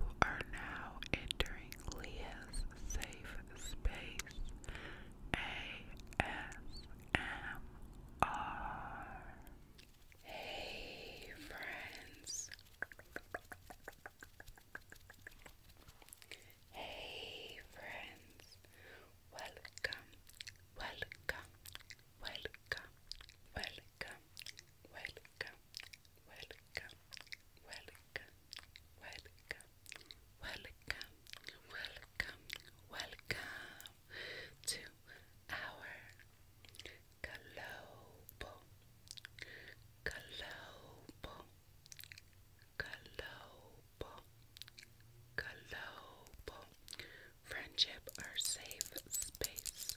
We are now entering Leah's safe space ASMR. Hey, friends. Hey, friends. Welcome, welcome, welcome, welcome welcome, welcome, welcome, welcome, welcome, welcome, welcome, welcome to our global, global, global, global friendship or safe space.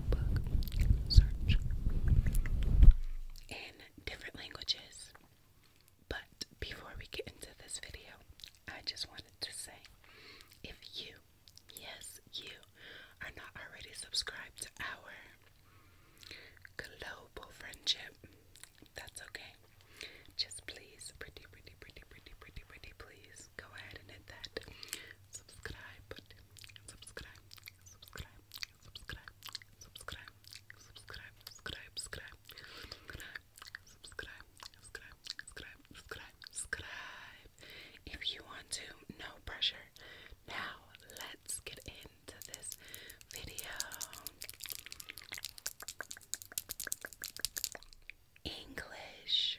book search in different languages. But before we get into this video, I just wanted to say if you, yes, you are not already subscribed to our global friendship, that's okay. Just please, pretty, pretty, pretty, pretty, pretty, pretty, please please go ahead and hit that subscribe button. Subscribe, subscribe, subscribe, subscribe, subscribe, subscribe, subscribe, subscribe, subscribe, subscribe, subscribe, subscribe, subscribe. If you want to, no pressure. Now let's get into this video. English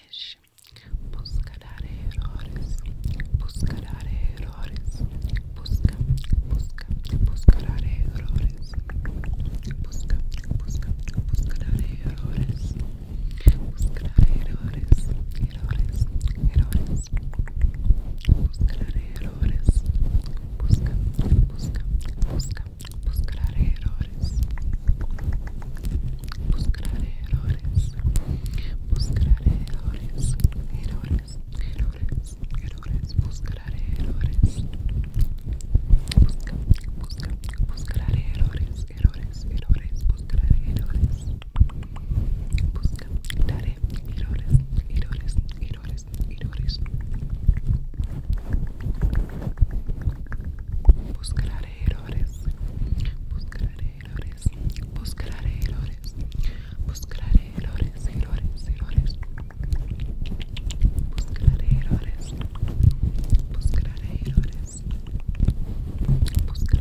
errores, buscará errores, buscará errores, busca, busca, buscará errores, busca, busca, buscará errores, buscará errores, errores, errores, buscará errores, busca, busca, busca. buscar errores, buscar errores, buscar errores, errores, errores, errores, buscar errores, buscaré buscar errores, errores, errores, buscar errores, busca, errores, errores, errores, errores buscar errores buscar errores buscar errores buscar errores errores errores buscar errores buscar errores buscar errores buscar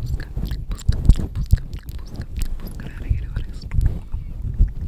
buscar buscar buscar buscar errores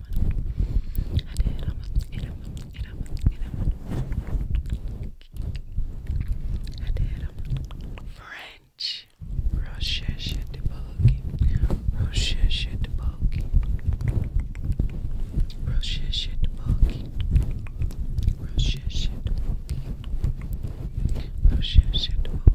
إلى إلى إلى إلى French Rochesha de Bulgi Rochesha de Bulgi Rochesha de Bulgi Rochesha de Bulgi Rochesha de Bulgi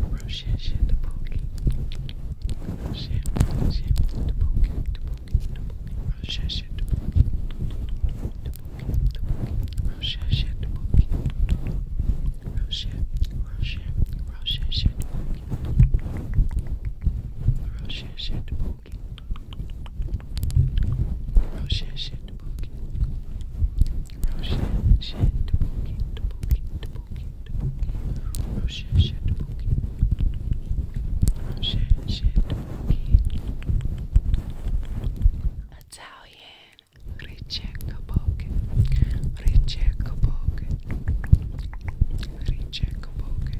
Rochelle, the pokey. Rochelle, the pokey, the pokey, the pokey. Rochelle, the pokey, the pokey, the pokey. Rochelle, the pokey. Rochelle, Rochelle, Rochelle, the pokey. Rochelle, the pokey. Rochelle, the pokey. Roshia shed bookie, bookie, bookie, bookie. Roshia shed bookie. Roshia shed bookie. Italian Riche Kaboke. Riche Kaboke. Riche Kaboke.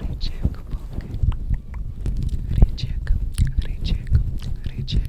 Riche Kaboke. Riche Kaboke. Riche Kaboke. Riche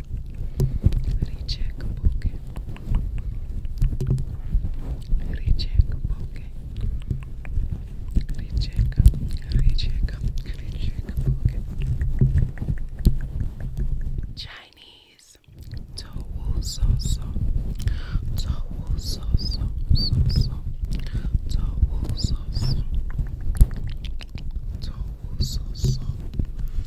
Recheck poke. Recheck poke. Recheck. Recheck. Recheck poke. Chinese. Towu so so. Towu so so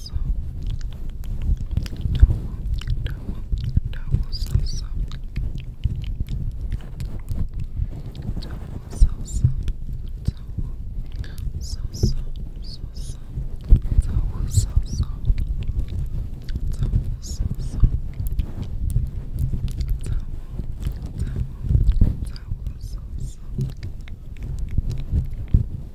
salsa. Double, double, double salsa. Double salsa. Double salsa. Salsa. Double salsa. Double salsa. Double, double, double salsa. Double salsa.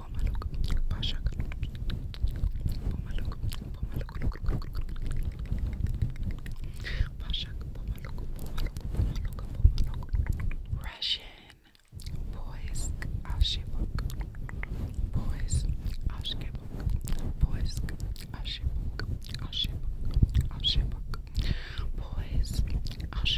pomaluk, pashak, pomaluk, pomaluk, look, look, look, pashak, pomaluk, pomaluk, pomaluk, pomaluk, Russian boys ashibok, boys ashibok, boys ashibok, ashibok, ashibok, boys ashibok.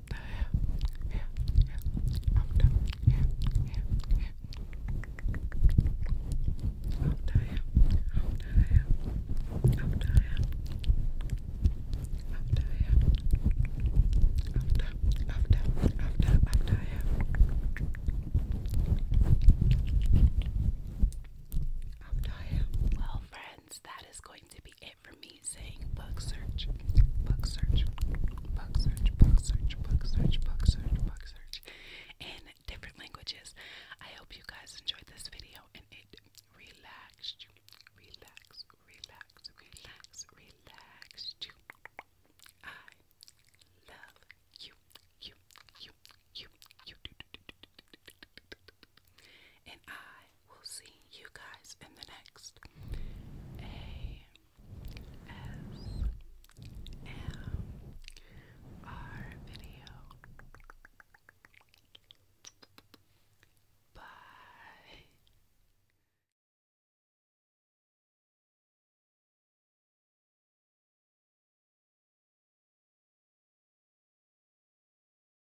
the hair, hair, hair, of the hair, hair, hair, of the hair, of the hair, of Well, friends, that is going to be to it for me saying book search, book search, book search, book search, book search, book search, book search in different languages. I hope you guys enjoyed this video and it relaxed you. Relax, relax, relax, I love you, you, you, you, you. And I will see you guys in the next A S M R video. Bye.